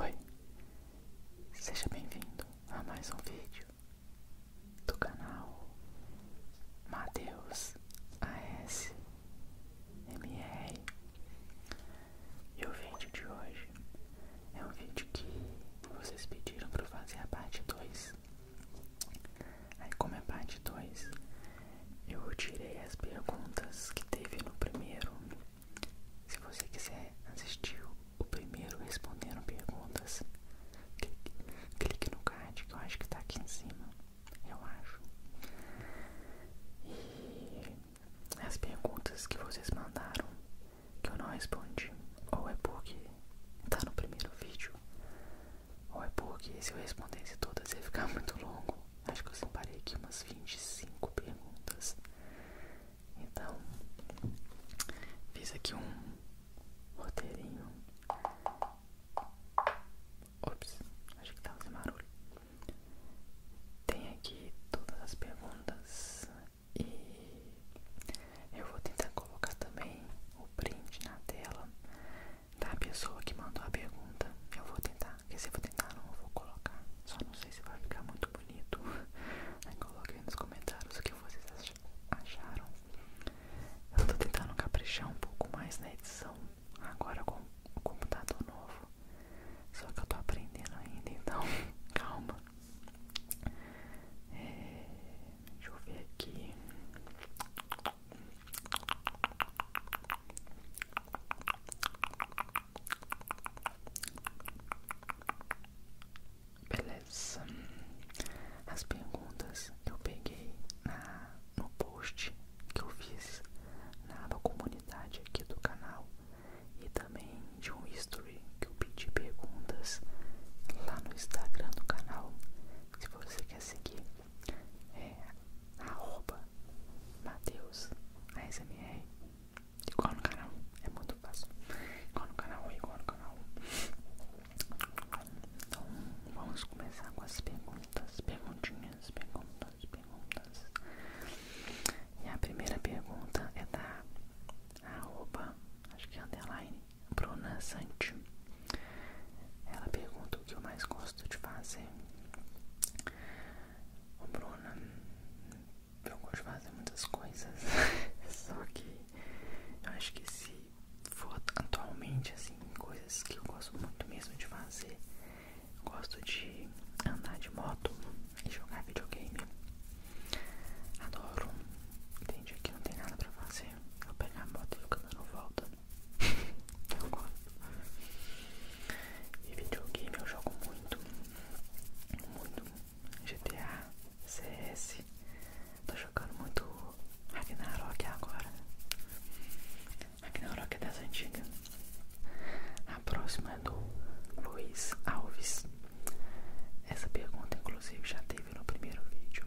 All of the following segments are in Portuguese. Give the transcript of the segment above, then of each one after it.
Oi, seja bem-vindo a mais um vídeo do canal Mateus ASMR. E o vídeo de hoje é um vídeo que vocês pediram para fazer a parte 2. Aí, como é parte 2, eu tirei as perguntas que teve no primeiro. Se você quiser assistir o primeiro respondendo perguntas, clique, clique no card que eu acho que tá aqui em cima. Eu acho. E as perguntas que vocês mandaram que eu não respondi, ou é porque tá no primeiro vídeo, ou é porque se eu respondesse todas ia ficar muito longo acho que eu separei aqui umas 25 perguntas. Então, fiz aqui um roteirinho. Ops, acho que tava sem barulho. Tem aqui todas as perguntas e eu vou tentar colocar também o print na tela da pessoa que mandou a pergunta. Eu vou tentar porque se eu tentar não eu vou colocar, só não sei se vai ficar muito bonito. Aí coloquem nos comentários o que vocês acharam. Eu tô tentando caprichar um pouco mais na edição agora com o computador novo. Só que eu tô aprendendo ainda, então calma. É, deixa eu ver aqui. Beleza. As perguntas eu peguei na, no post que eu fiz na da comunidade aqui do canal e também de um history que eu pedi perguntas lá no Instagram do canal. Se você quer seguir, é arroba Mateus ASMR igual no canal, é muito fácil igual no canal, igual no canal então vamos começar com as perguntas perguntinhas, perguntas, perguntas e a primeira pergunta é da arroba, acho que é underline Bruna ela pergunta o que eu mais gosto de fazer o Bruna, eu gosto de fazer muitas coisas, só que eu acho que se for atualmente, assim, coisas que eu gosto muito mesmo de fazer, eu gosto de andar de moto e jogar videogame. Adoro, entendi aqui não tem nada pra fazer. Eu pego a moto e o caminho volta eu gosto. E videogame eu jogo muito, muito GTA, CS. Tô jogando muito Ragnarok agora. Ragnarok é das antigas. A próxima é do Luiz Alves. Essa pergunta, inclusive, já teve no primeiro vídeo.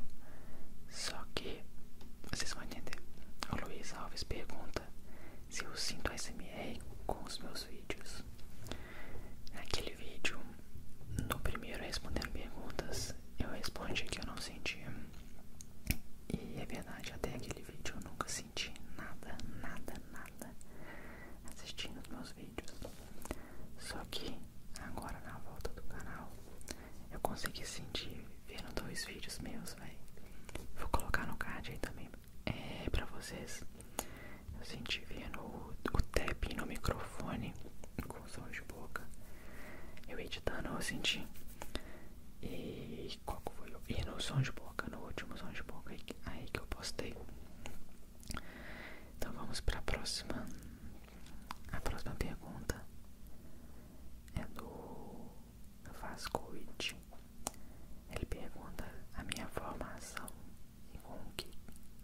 Só que vocês vão entender. O Luiz Alves pergunta se eu sinto SMR com os meus vídeos. Naquele vídeo, no primeiro respondendo perguntas, eu respondi que eu não sentia. E é verdade, até aquele vídeo eu nunca senti nada, nada, nada assistindo os meus vídeos. Só que agora na volta do canal eu consegui sentir vendo dois vídeos meus, vai Vou colocar no card aí também é, pra vocês. Eu senti vendo o, o tap no microfone com som de boca. Eu editando, eu senti. E qual que foi? E no som de boca, no último som de boca aí, aí que eu postei. Então vamos pra próxima. A próxima pergunta é do Vascovitch. Ele pergunta a minha formação e com o que,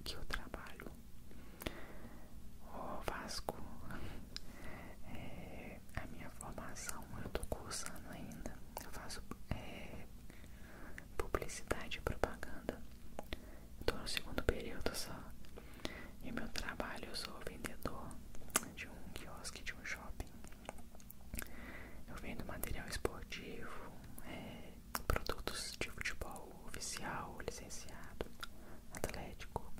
que eu trabalho. O Vasco, é, a minha formação eu estou cursando ainda. Eu faço é, publicidade e propaganda. Estou no segundo período só. E meu trabalho eu sou vendedor de um quiosque de de shopping. Eu vendo material esportivo, é, produtos de futebol oficial, licenciado, atlético,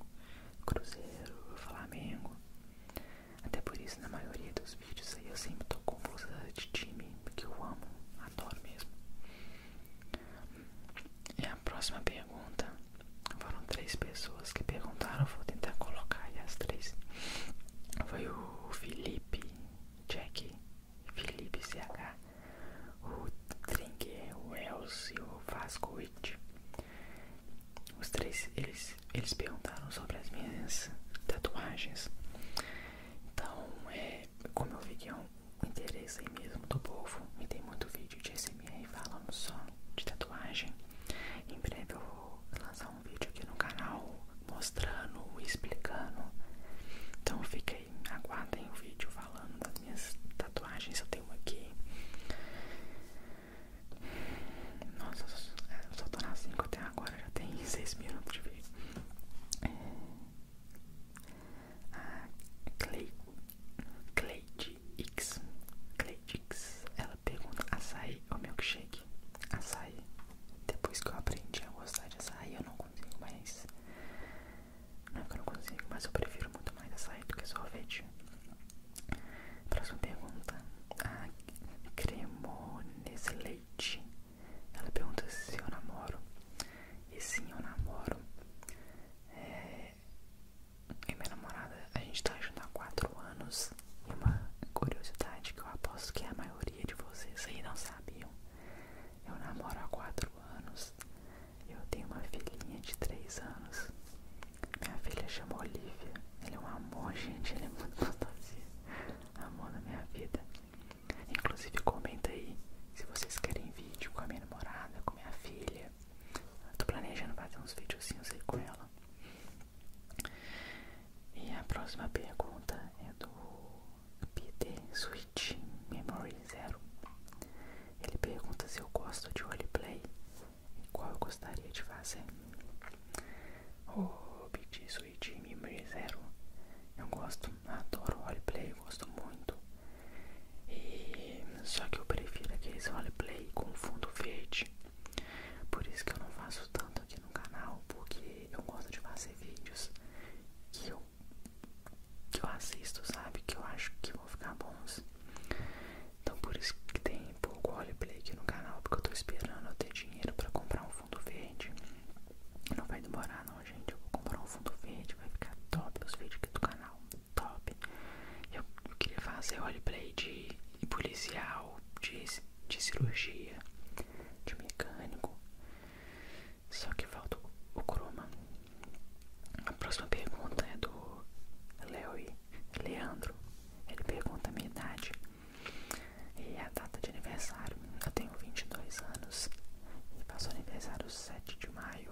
cruzeiro, flamengo. Até por isso, na maioria dos vídeos aí eu sempre tô com de time, que eu amo, adoro mesmo. E a próxima pergunta foram três pessoas que perguntaram, vou tentar colocar aí as três. Foi o Felipe, Jack, Felipe CH, o Tringue, o Els e o Vasco It. Os três, eles, eles perguntaram sobre as minhas tatuagens. Então, é, como eu vi que é um interesse aí mesmo do povo, me tem muito vídeo de SMR e falam só de tatuagem. Em breve eu vou lançar um vídeo aqui no canal mostrando e explicando. Então fiquem, aguardem o vídeo falando das minhas tatuagens. Eu tenho aqui. Nossa, eu só tô na 5 até agora, já tem 6 minutos de vídeo. É, a ah, Clay, Cleitix, Cleitix, ela pergunta açaí ou milkshake? Açaí. Depois que eu aprendi a gostar de açaí, eu não consigo mais. Não é que eu não consigo, mas eu prefiro muito mais açaí do que sorvete. Próxima pergunta. A Cremones Leite. Ela pergunta se eu namoro. E sim, eu namoro. É, e minha namorada, a gente tá junto há 4 anos. E uma curiosidade que eu aposto que a maioria de vocês aí não sabiam. Eu namoro há 4 anos. Eu tenho uma filhinha de 3 anos. Minha filha chama Olivia. Ele é um amor, gente. Ele é muito gostosinho. Amor da minha vida. Inclusive, comenta aí se vocês querem vídeo com a minha namorada, com minha filha dia. tô planejando fazer uns vídeos aí com ela. E a próxima pergunta é do Peter Switch Memory Zero. Ele pergunta se eu gosto de roleplay e qual eu gostaria de fazer. Oh, Peter Switch Memory Zero. Eu gosto, adoro roleplay, gosto muito só que eu prefiro aqueles roleplay com fundo verde. Por isso que eu não faço tanto aqui no canal, porque eu gosto de fazer vídeos que eu, que eu assisto, sabe? Que eu acho que vão ficar bons. Então por isso que tem pouco roleplay aqui no canal, porque eu tô esperando eu ter dinheiro pra comprar um fundo verde. Não vai demorar não, gente. Eu vou comprar um fundo verde, vai ficar top os vídeos aqui do canal top. Eu, queria fazer roleplay play de policial, de, de cirurgia, de mecânico. Só que falta o croma. A próxima pergunta é do Leoi, Leandro. Ele pergunta a minha idade e a data de aniversário. Eu tenho 22 anos e passo aniversário 7 de maio.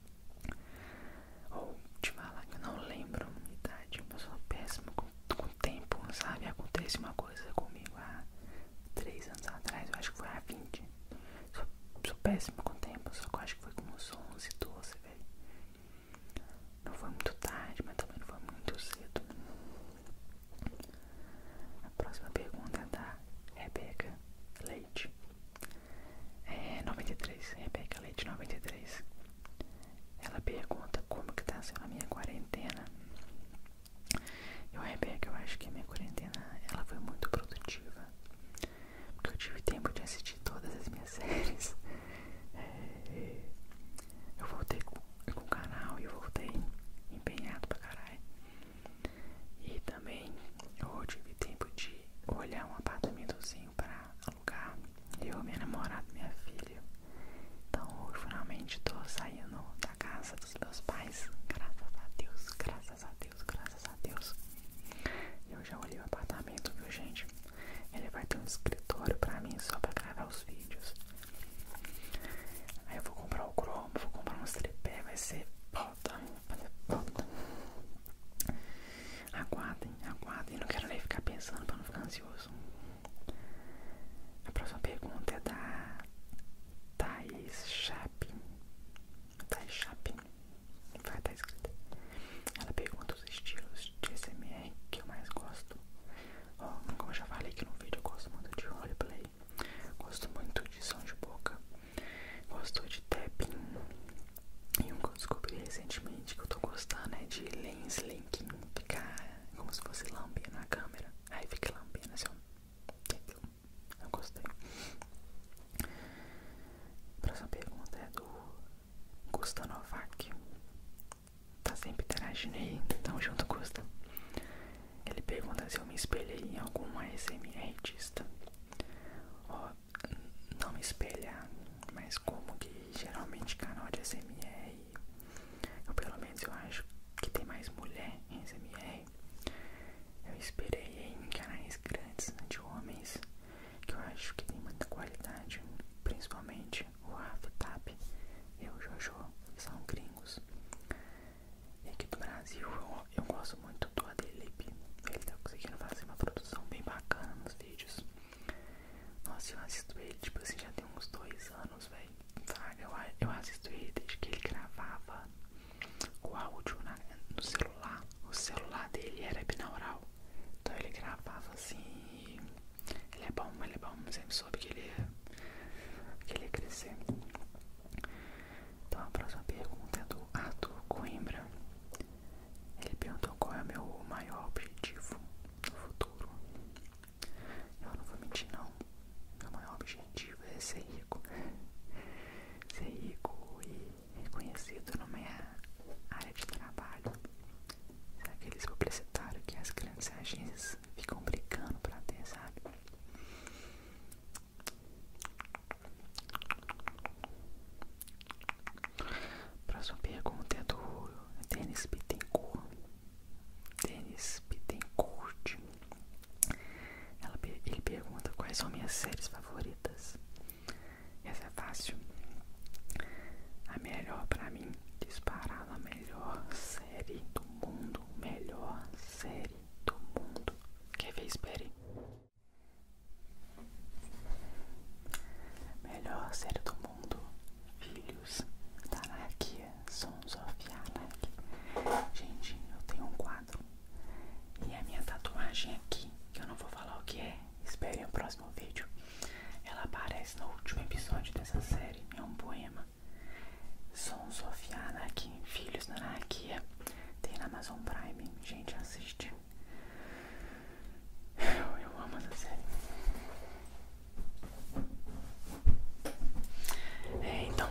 Ou te falar que eu não lembro a idade, eu sou péssimo com, o tempo, sabe? Acontece uma coisa comigo há 3 anos atrás, eu acho que foi há 20. Sou, sou péssimo com o tempo, só que eu acho que foi como uns 11, 12, velho. Não foi muito tarde, mas também não foi muito cedo. A próxima pergunta é da Rebeca Leite é, 93, Rebeca Leite 93. Ela pergunta como que tá sendo a minha quarentena. Eu, Rebeca, eu acho que a minha quarentena ela foi muito produtiva. Porque eu tive tempo de assistir todas as minhas séries. É, eu voltei com o canal e eu voltei empenhado pra caralho. E também eu tive tempo de fui olhar um apartamentozinho pra alugar. Eu, minha namorada, minha filha. Então, hoje finalmente tô saindo da casa dos meus pais. Graças a Deus, graças a Deus, graças a Deus. Eu já olhei o apartamento, viu, gente? Ele vai ter um escritório pra mim só pra gravar os vídeos. Aí eu vou comprar o Chrome vou comprar um tripé, vai ser foda, vai ser Aguardem, aguardem. Não quero nem ficar pensando para não ficar ansioso. A próxima pergunta é da Thais Chapin. Thais Chapin. Vai estar tá escrita. Ela pergunta os estilos de SMR que eu mais gosto. Oh, como eu já falei aqui no vídeo, eu gosto muito de roleplay. Gosto muito de som de boca. Gostou de tapping? E um que eu descobri recentemente que eu tô gostando é de lens linking. Ficar como se fosse lambendo na câmera. Aí fica lambendo assim, entendeu? Eu gostei. A próxima pergunta é do Gusta Novak. Tá sempre interagindo aí. Tamo junto, Gusta. Ele pergunta se eu me espelhei em algum ASMR artista. Ó, não me espelha, mas como que geralmente canal de SMR, eu pelo menos eu acho que tem mais mulher em SMR, eu esperei em canais grandes de homens, que eu acho que tem muita qualidade, principalmente o Rafa Tap e o Jojo, são gringos. E aqui do Brasil eu eu gosto muito do Adelip. Ele tá conseguindo fazer uma produção bem bacana nos vídeos. Nossa, eu assisto ele, tipo assim, já tem uns dois anos, velho. Eu, assisto ele desde que ele gravava o áudio no celular. O celular dele era binaural. Então ele gravava assim. Ele é bom, ele é bom. Sempre soube que ele que ele ia crescer. Então a próxima pergunta é do Arthur Coimbra. Ele perguntou qual é o meu maior objetivo no futuro. Eu não vou mentir não. Meu maior objetivo é ser rico. Ser rico e reconhecido na minha área de trabalho. É aqueles publicitários que as grandes agências ficam brigando pra ter, sabe? Próxima pergunta é do Denis Bittencourt. Denis Bittencourt. ele pergunta quais são minhas séries favoritas. Essa é fácil. A melhor pra mim, disparada, a melhor série do mundo. Melhor série do mundo. Quer ver? Espere. Melhor série do mundo, filhos da anarquia, Sons of Anarchy. Gente, eu tenho um quadro e a minha tatuagem é aqui, que eu não vou falar o que é, esperem o próximo vídeo. Ela aparece no último episódio dessa série, é um poema. Sons of Anarchy, filhos da anarquia. Tem na Amazon Prime, gente, assiste. Eu, amo essa série. É, então,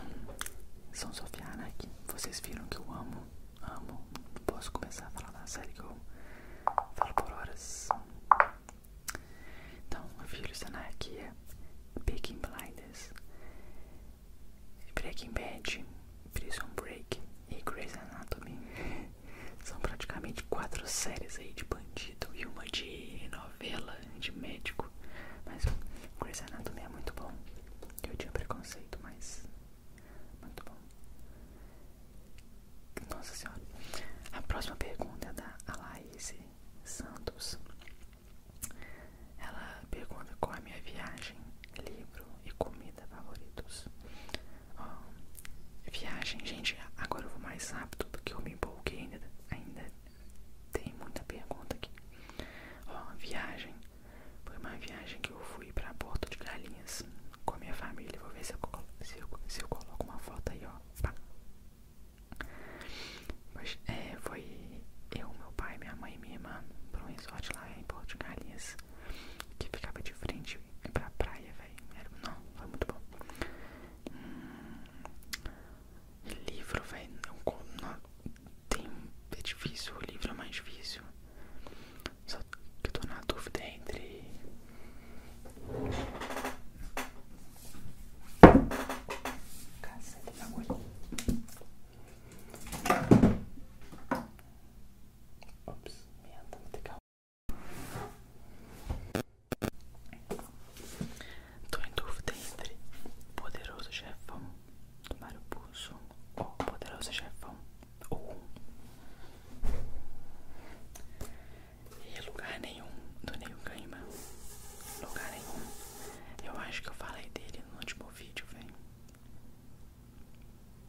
São Sofiana aqui. Vocês viram que eu amo, amo. não Posso começar a falar da série que eu falo por horas. Então, eu Filhos da é Peaking Blinders. Breaking Bad, Prison Break e Grey's Anatomy são praticamente quatro séries aí de bandido e uma de novela de médico. Mas o Grey's Anatomy é muito bom. Eu tinha preconceito, mas muito bom. Nossa senhora. A próxima pergunta é da Alaise Santos. Ela pergunta qual é a minha viagem, livro e comida favoritos. Oh, viagem, gente, agora eu vou mais rápido do que eu me empolguei ainda. ainda tem muita pergunta aqui. Oh, viagem. Foi uma viagem que eu fui pra Porto de Galinhas com a minha família. Vou ver se eu, se eu coloco uma foto aí, ó. Mas, é, foi eu, meu pai, minha mãe e minha irmã pra um resort lá em Porto de Galinhas, que ficava de frente pra praia, velho. Não, foi muito bom. Hum, livro, velho. não Tem, é difícil, o livro é mais difícil. Só que eu tô na dúvida entre. Cacete, bagulho. Tá Ops, merda, vou ter calma. Tô em dúvida entre Poderoso Chefão do Mario Puzo ou Poderoso Chefão ou E lugar nenhum do Neil Gaiman Lugar nenhum Eu acho que eu falei dele no último vídeo, vem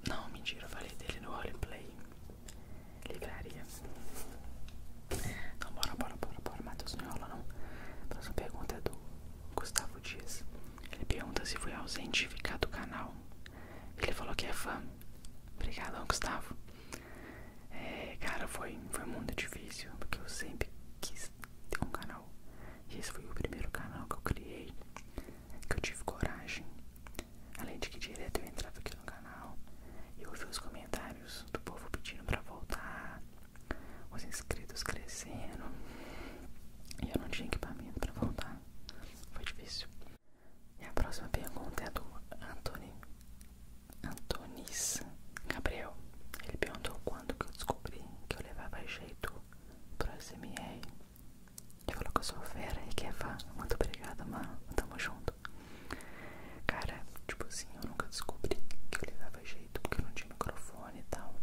Não, mentira, falei dele no roleplay. ligaria Então, bora, bora, bora, bora. Matheus não enrola, não. próxima pergunta é do Gustavo Dias. Ele pergunta se fui ausente ficar do canal. Ele falou que é fã. obrigado Gustavo. É, cara, foi, foi muito difícil, porque eu sempre quis fiz um canal. E esse foi o primeiro canal que eu criei, que eu tive coragem. Além de que direto eu entrava aqui no canal eu ouvia os comentários do povo pedindo pra voltar, os inscritos crescendo. E eu não tinha equipamento pra voltar. Foi difícil. E a próxima pergunta é do Antônio Antonis Gabriel. Ele perguntou quando que eu descobri que eu levava jeito pro SMR. Ele falou que eu sou fera e que é fã. Muito obrigada, mano. Tamo junto. Cara, tipo assim, eu nunca descobri que eu levava jeito porque não tinha microfone e tal.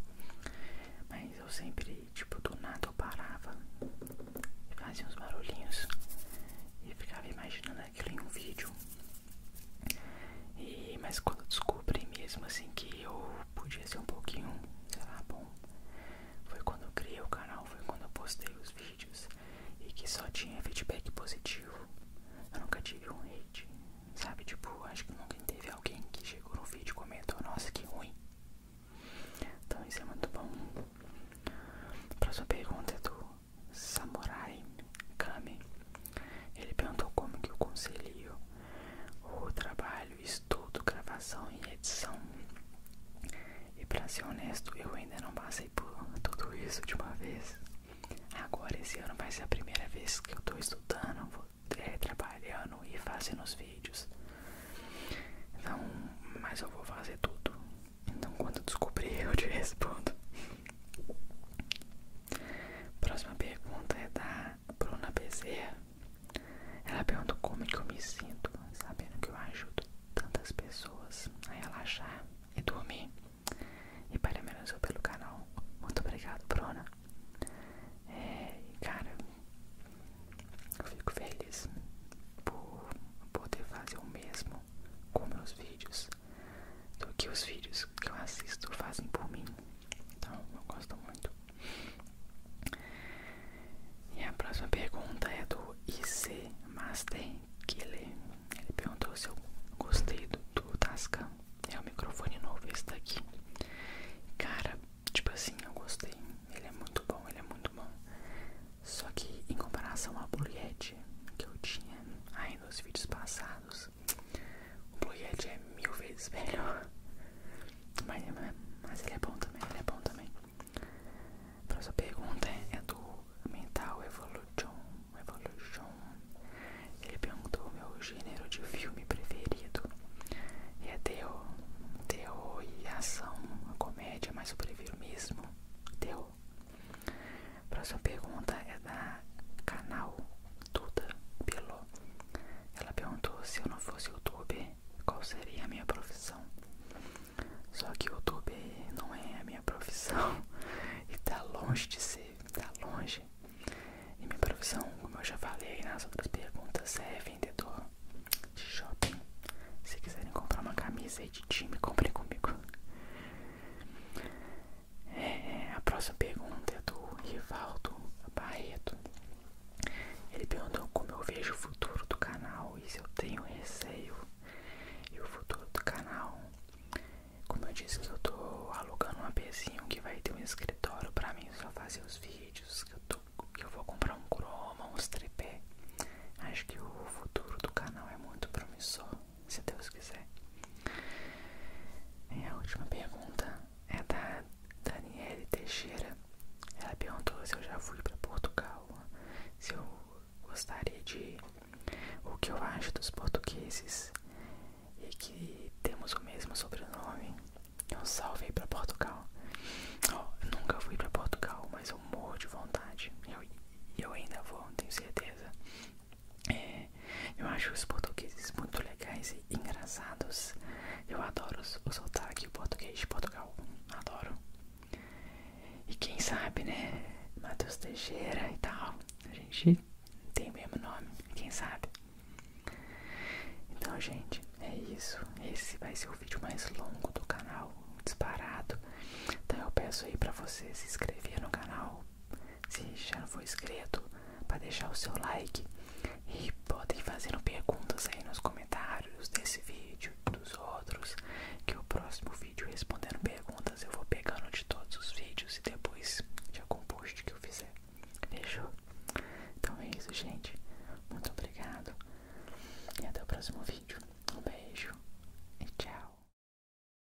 Mas eu sempre, tipo, do nada eu parava e fazia uns barulhinhos e ficava imaginando aquilo em um vídeo. E, mas quando eu descobri mesmo assim que eu podia ser um pouquinho, sei lá, bom, foi quando eu criei o canal, foi quando eu postei os vídeos e que só tinha feedback positivo. Eu nunca tive um hate, sabe? Tipo, acho que nunca teve alguém que chegou no vídeo e comentou, nossa, que ruim. Então isso é muito bom. próxima pergunta é do Samurai Kami ele perguntou como que eu concilio o trabalho, estudo, gravação e edição. E para ser honesto, eu ainda não passei por tudo isso de uma vez. Agora esse ano vai ser a primeira vez que eu tô estudando, vou, é, trabalhando e fazendo os vídeos. Então, mas eu vou fazer tudo. Então quando descobrir eu te respondo. Próxima pergunta é da Bruna Bezerra. Ela pergunta como é que eu me sinto, sabendo que eu ajudo tantas pessoas a relaxar e dormir. E parabenizou pelo canal. Muito obrigado, Bruna. É, cara, eu fico feliz por poder fazer o mesmo com meus vídeos do que os vídeos que eu assisto fazem por mim. Então, eu gosto muito. E a próxima pergunta é do IC Master Killer. Ele perguntou se eu gostei do, do É o microfone novo esse daqui. Cara, tipo assim, eu gostei. Ele é muito bom, ele é muito bom. Só que em comparação ao Blue Yeti que eu tinha aí nos vídeos passados, o Blue Yeti é mil vezes melhor. Mas, ele é bom também, ele é bom também. A próxima pergunta é, é do Mental Evolution. Evolution. Ele perguntou o meu gênero de filme preferido. é Theo, Theo e ação, a comédia, mas eu prefiro mesmo Theo próxima pergunta é da canal Duda Pilô. Ela perguntou se eu não fosse youtuber, qual seria a minha profissão. Só que youtuber não é a minha profissão e tá longe de ser, tá longe. E minha profissão, como eu já falei nas outras perguntas, é vendedor de shopping. Se quiserem comprar uma camisa aí de time, comprem comigo. É, a próxima pergunta é do Rivaldo Barreto. Ele perguntou como eu vejo o futuro do canal e se eu tenho receio. E o futuro do canal, como eu disse que eu tô alugando um APzinho que vai ter um escritório pra mim só fazer os vídeos, que eu, tô, que eu vou comprar um croma, uns tripé. Acho que o futuro do canal é muito promissor se Deus quiser. E a última pergunta é da Daniele Teixeira. Ela perguntou se eu já fui para Portugal, se eu gostaria de ir, o que eu acho dos portugueses e que temos o mesmo sobrenome. Eu salvei para Portugal. nunca fui para Portugal, mas eu morro de vontade. eu ainda vou, tenho certeza. É, eu acho os portugueses muito legais e engraçados. Eu adoro o sotaque português de Portugal. Adoro. E quem sabe, né? Matheus Teixeira e tal. A gente tem o mesmo nome, quem sabe? Então, gente, é isso. Esse vai ser o vídeo mais longo do canal, disparado. Então, eu peço aí pra você se inscrever no canal, se já não for inscrito, para deixar o seu like e podem fazendo perguntas aí nos comentários desse vídeo, dos outros, que o próximo vídeo respondendo perguntas eu vou pegando de todos os vídeos e depois já com post que eu fizer. Fechou? Então é isso, gente. Muito obrigado e até o próximo vídeo. Um beijo e tchau.